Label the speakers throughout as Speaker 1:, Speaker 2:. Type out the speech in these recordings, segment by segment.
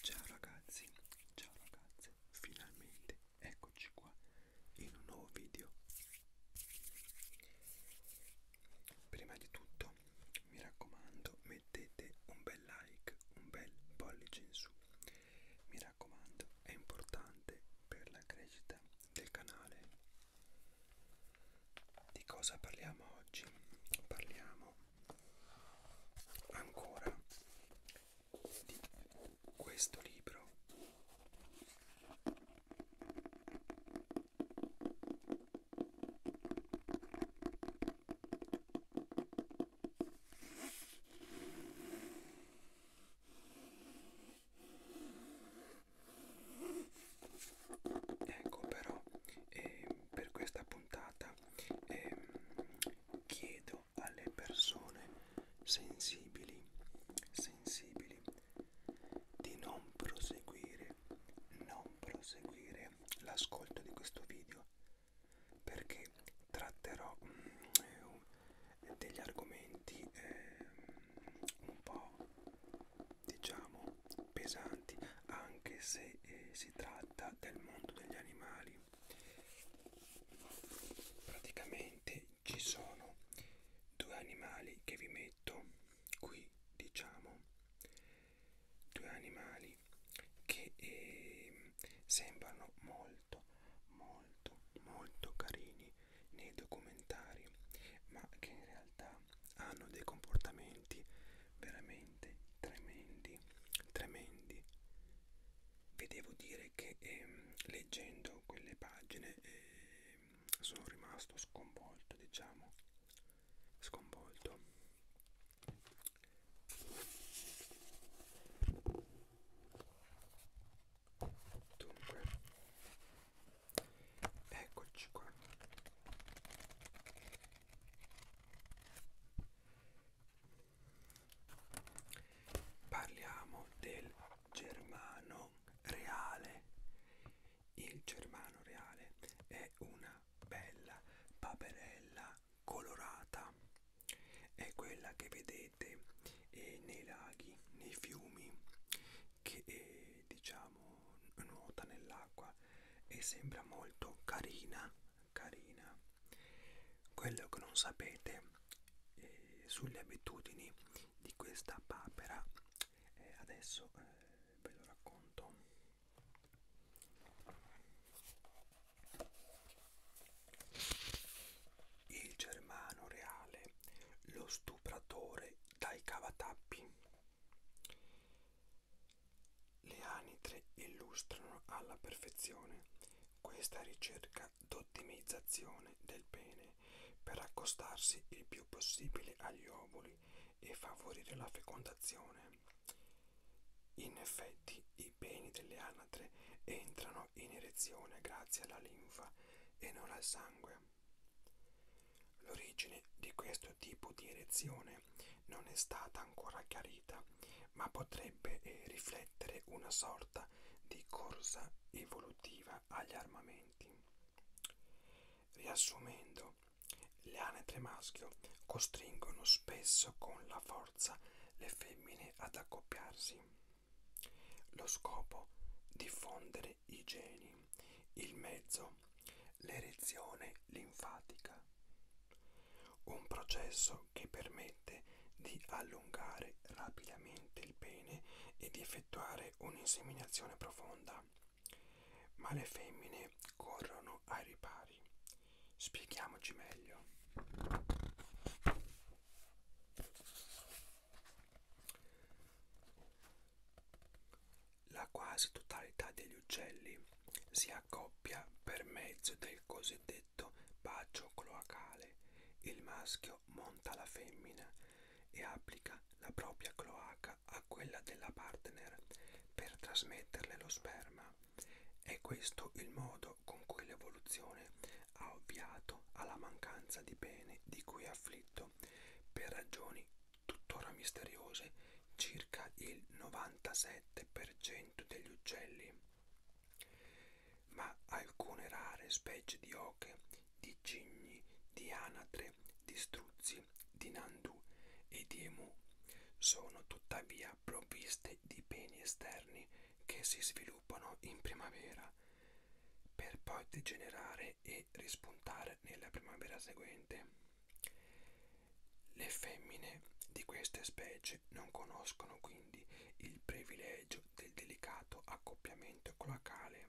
Speaker 1: Ciao ragazzi, ciao ragazze, finalmente eccoci qua in un nuovo video. Prima di tutto, mi raccomando, mettete un bel like, un bel pollice in su. Mi raccomando, è importante per la crescita del canale. Di cosa parliamo oggi? Parliamo ancora di questo libro Ecco però eh, per questa puntata eh, chiedo riferito alle persone sensibili, sensibili di non proseguire, non proseguire l'ascolto di questo video perché tratterò mm, degli argomenti eh, un po' diciamo pesanti anche se eh, si tratta del mondo degli animali praticamente ci sono due animali che vi metto qui diciamo due animali che eh, sembrano molto molto molto carini nei documentari ma che in realtà hanno dei comportamenti veramente veramente tremendi, tremendi. Vi devo dire che ehm, leggendo quelle pagine ehm, sono rimasto sconvolto, diciamo, sconvolto. Dunque, eccoci qua. Parliamo del germano reale. Il germano reale è una bella paperella colorata. È quella che vedete eh, nei laghi, nei fiumi, che eh, diciamo nuota nell'acqua e sembra molto carina carina quello che non sapete eh, sulle abitudini di questa papera eh, adesso eh, ve lo racconto il germano reale lo stupratore dai cavatappi le anitre illustrano alla perfezione questa ricerca d'ottimizzazione del pene per accostarsi il più possibile agli ovuli e favorire la fecondazione. In effetti i peni delle anatre entrano in erezione grazie alla linfa e non al sangue. L'origine di questo tipo di erezione non è stata ancora chiarita, ma potrebbe eh, riflettere una sorta di corsa evolutiva agli armamenti. Riassumendo, le anetre maschio costringono spesso con la forza le femmine ad accoppiarsi. Lo scopo diffondere i geni, il mezzo, l'erezione linfatica. Un processo che permette di allungare rapidamente il pene e di effettuare un'inseminazione profonda. Ma le femmine corrono ai ripari. Spieghiamoci meglio. La quasi totalità degli uccelli si accoppia per mezzo del cosiddetto bacio cloacale. Il maschio monta la femmina e applica la propria cloaca a quella della partner per trasmetterle lo sperma. È questo il modo con cui l'evoluzione ha ovviato alla mancanza di pene di cui è afflitto per ragioni tuttora misteriose circa il 97% degli uccelli, ma alcune rare specie di oche, di cigni, di anatre, di struzzi, di nandu e di emu sono tuttavia provviste di peni esterni che si sviluppano in primavera per poi degenerare e rispuntare nella primavera seguente. Le femmine di queste specie non conoscono quindi il privilegio del delicato accoppiamento cloacale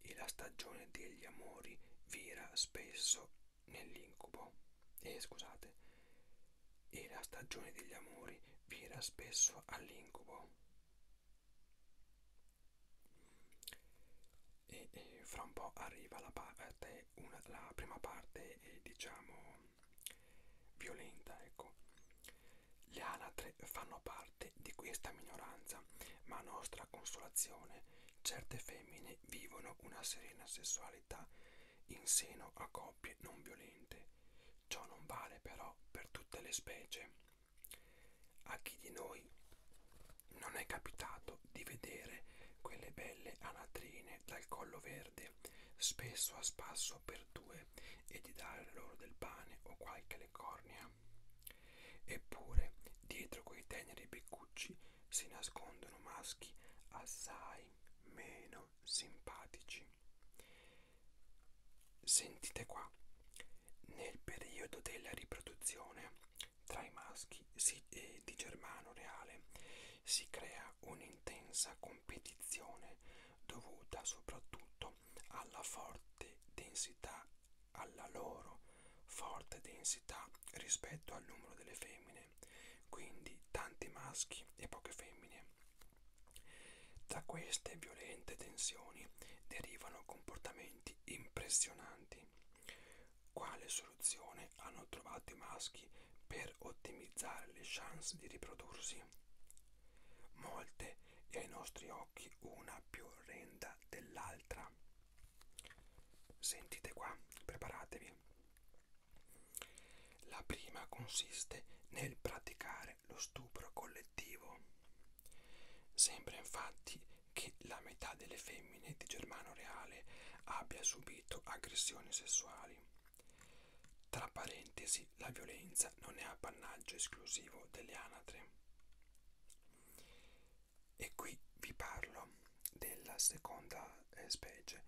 Speaker 1: e la stagione degli amori vira spesso nell'incubo. Eh, scusate, e la stagione degli amori vira spesso all'incubo e, e fra un po' arriva la, parte, una, la prima parte eh, diciamo violenta ecco le anatre fanno parte di questa minoranza ma a nostra consolazione certe femmine vivono una serena sessualità in seno a coppie non violente ciò non vale però per tutte le specie a chi di noi voi non è capitato di vedere quelle belle anatrine dal collo verde, spesso a spasso per due, e di dare loro del pane o qualche lecornia? Eppure, dietro quei teneri beccucci si nascondono maschi assai meno simpatici. Sentite qua, nel periodo della riproduzione tra i maschi si, eh, di Germano Reale si crea un'intensa competizione dovuta soprattutto alla forte densità, alla loro forte densità rispetto al numero delle femmine, quindi tanti maschi e poche femmine. Da queste violente tensioni derivano comportamenti impressionanti. Quale soluzione hanno trovato i maschi per ottimizzare le chance di riprodursi? Molte e ai nostri occhi una più orrenda dell'altra. Sentite qua, preparatevi. La prima consiste nel praticare lo stupro collettivo. Sembra infatti che la metà delle femmine di Germano Reale abbia subito aggressioni sessuali. Tra parentesi, la violenza non è appannaggio esclusivo delle anatre. E qui vi parlo della seconda eh, specie,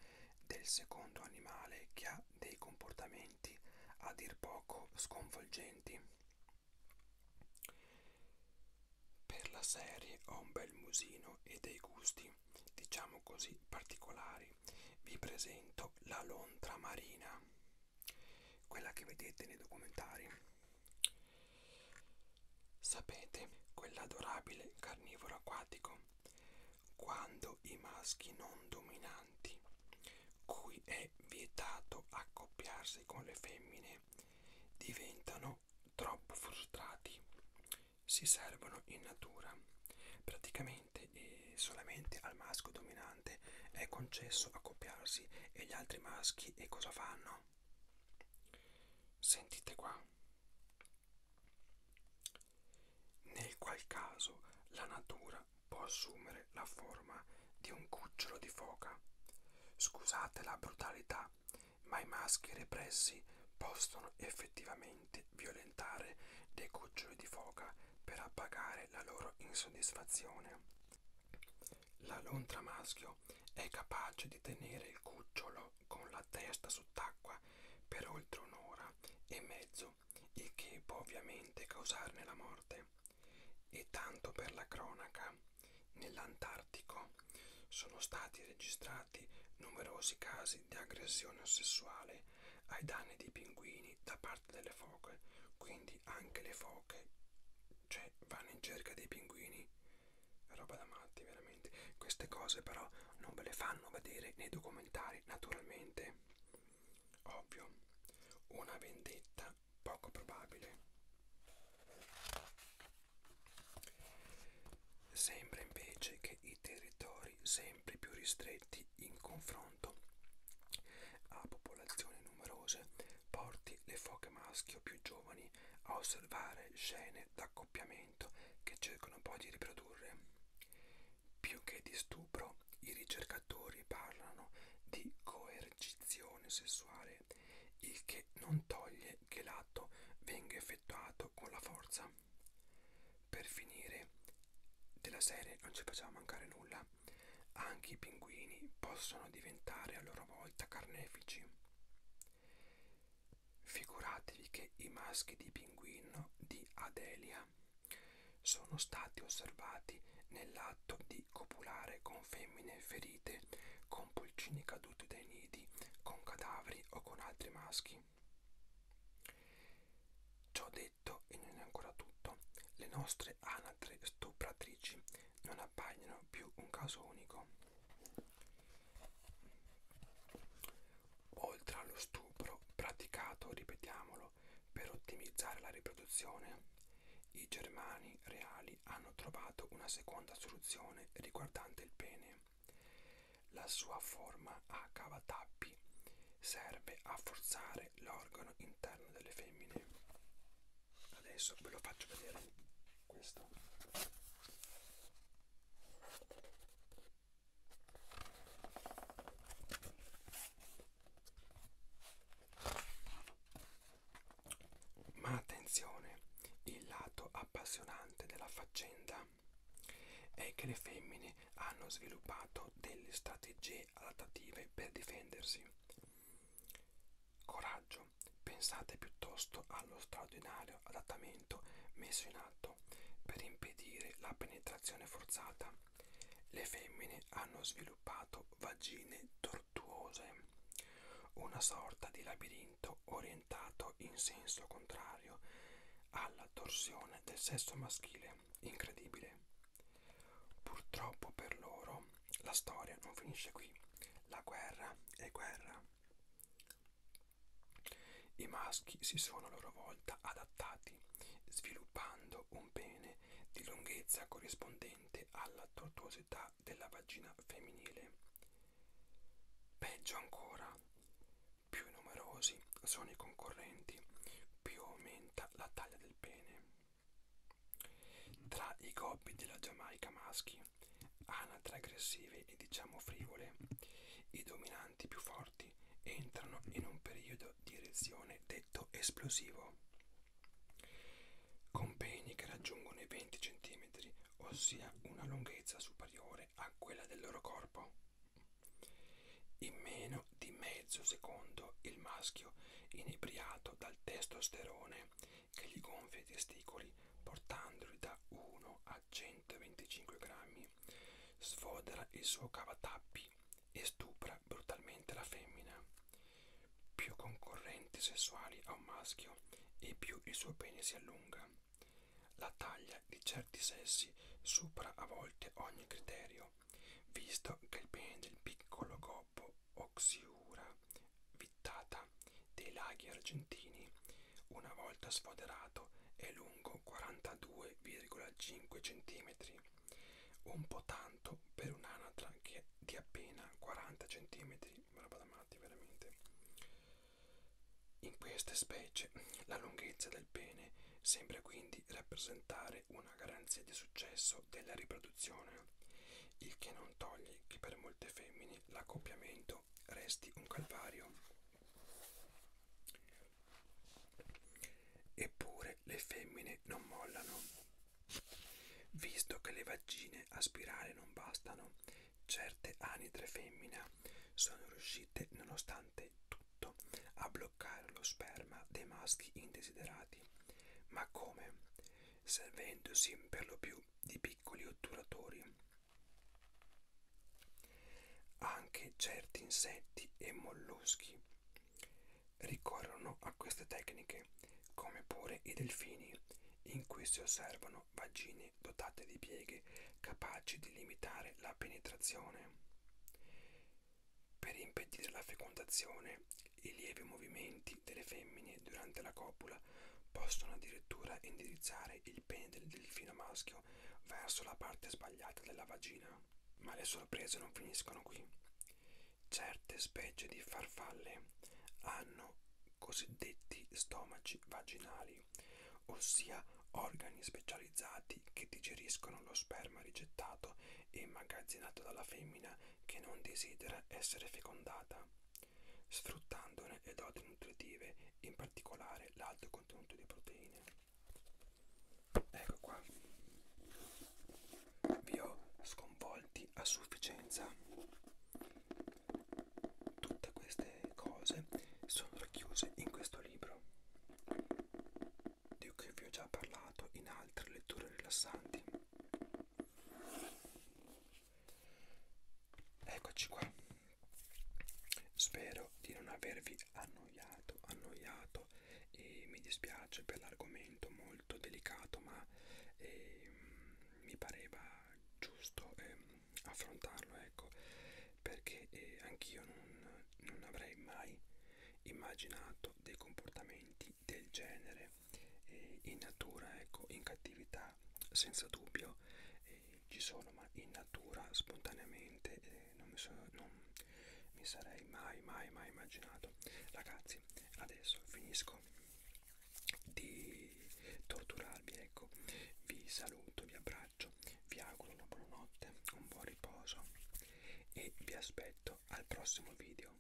Speaker 1: del secondo animale che ha dei comportamenti a dir poco sconvolgenti. Per la serie ho un bel musino e dei gusti, diciamo così, particolari. Vi presento la lontra marina, quella che vedete nei documentari. Sapete, quell'adorabile carnivoro acquatico, quando i maschi non dominanti, cui è vietato accoppiarsi con le femmine, diventano troppo frustrati, si servono in natura. Praticamente eh, solamente al maschio dominante è concesso accoppiarsi e gli altri maschi e cosa fanno? Sentite qua. Nel qual caso la natura può assumere assumere la forma di un cucciolo di foca. Scusate la brutalità, ma i maschi repressi possono effettivamente violentare dei cuccioli di foca per appagare la loro insoddisfazione. La lontra maschio è capace di tenere il cucciolo con la testa sott'acqua per oltre un'ora e mezzo, il che può ovviamente causarne la morte. E tanto per la cronaca, nell'Antartico sono stati registrati numerosi casi di aggressione sessuale ai danni dei pinguini da parte delle foche, quindi anche le foche cioè, vanno in cerca dei pinguini. Roba da matti, veramente. Queste cose però non ve le fanno vedere nei documentari, naturalmente. Ovvio, una vendetta poco probabile. Sembra invece che i territori sempre più ristretti in confronto a popolazioni numerose porti le foche maschio più giovani a osservare scene d'accoppiamento che cercano poi di riprodurre. Più che di stupro, i ricercatori parlano di coercizione coercizione sessuale, il che non toglie che l'atto venga effettuato con la forza. Per finire, della serie non ci facciamo mancare nulla, anche i pinguini possono diventare a loro volta carnefici. Figuratevi che i maschi di pinguino di Adelia sono stati osservati nell'atto di di copulare con femmine ferite, con pulcini caduti dai nidi, con cadaveri o con altri maschi. Ciò detto, e non è ancora tutto, le nostre anatre stupratrici non appaiono più un caso unico. Oltre allo stupro praticato, ripetiamolo, lavoro per ottimizzare la riproduzione, i germani reali hanno trovato una seconda soluzione riguardante il pene. La sua forma a cavatappi serve a forzare l'organo interno delle femmine. Adesso ve lo faccio vedere questo. Ma attenzione, il lato appassionante della faccenda è che le femmine hanno sviluppato delle strategie adattative per difendersi. Coraggio, pensate piuttosto allo straordinario adattamento messo in atto per impedire la penetrazione forzata le femmine hanno sviluppato vagine tortuose, una sorta di labirinto orientato in senso contrario alla torsione del sesso maschile. Incredibile. Purtroppo per loro la storia non finisce qui. La guerra è guerra. I maschi si sono a loro volta adattati, sviluppando un pene di lunghezza corrispondente alla tortuosità della vagina femminile. Peggio ancora, più numerosi sono i concorrenti, più aumenta la taglia del pene. Tra i gobbi della Giamaica maschi, anatre aggressive e diciamo frivole, i dominanti più forti Uniti entrano in un periodo di erezione detto esplosivo, con peni che raggiungono i 20 cm, ossia una lunghezza superiore a quella del loro corpo. In meno di mezzo secondo il maschio, inebriato dal testosterone che gli gonfia i testicoli, portandoli da 1 a 125 grammi, sfodera il suo cavatappi e stupra brutalmente la femmina. Più concorrenti sessuali ha un maschio e più il suo pene si allunga. La taglia di certi sessi supera a volte ogni criterio, visto che il pene del piccolo gobbo oxiura vittata dei laghi argentini, una volta sfoderato, è lungo 42,5 cm un po' tanto per un'anatra che è di appena 40 cm, roba da matti veramente. In queste specie la lunghezza del pene sembra quindi rappresentare una garanzia di successo della riproduzione, il che non toglie che per molte femmine l'accoppiamento resti un calvario. Eppure le femmine non mollano. Visto che le vagine a spirale non bastano, certe anidre femmina sono riuscite, nonostante tutto, a bloccare lo sperma dei maschi indesiderati. Ma come? Servendosi per lo più di piccoli otturatori. Anche certi insetti e molluschi ricorrono a queste tecniche, come pure i delfini, in cui si osservano vagine dotate di pieghe capaci di limitare la penetrazione. Per impedire la fecondazione, i lievi movimenti delle femmine durante la copula possono addirittura indirizzare il pene del delfino maschio verso la parte sbagliata della vagina ma le sorprese non finiscono qui. Certe specie di farfalle hanno cosiddetti stomaci vaginali, ossia organi specializzati che digeriscono lo sperma rigettato e immagazzinato dalla femmina che non desidera essere fecondata, sfruttandone le doti nutritive, in particolare l'alto contenuto di proteine ecco qua vi ho sconvolti a sufficienza tutte queste cose sono racchiuse in questo libro di cui vi ho già parlato in altre letture rilassanti eccoci qua spero di non avervi annoiato annoiato, annoiato e mi dispiace per l'argomento molto delicato ma eh, mi pareva giusto eh, affrontarlo ecco perché eh, anch'io non, non avrei mai immaginato dei comportamenti del genere eh, in natura ecco in cattività senza dubbio eh, ci sono, ma in natura spontaneamente eh, non, mi sono, non mi sarei mai, mai, mai immaginato. Ragazzi, adesso finisco di torturarvi, ecco, vi saluto, vi abbraccio, vi auguro una buona notte, un buon riposo e vi aspetto al prossimo video.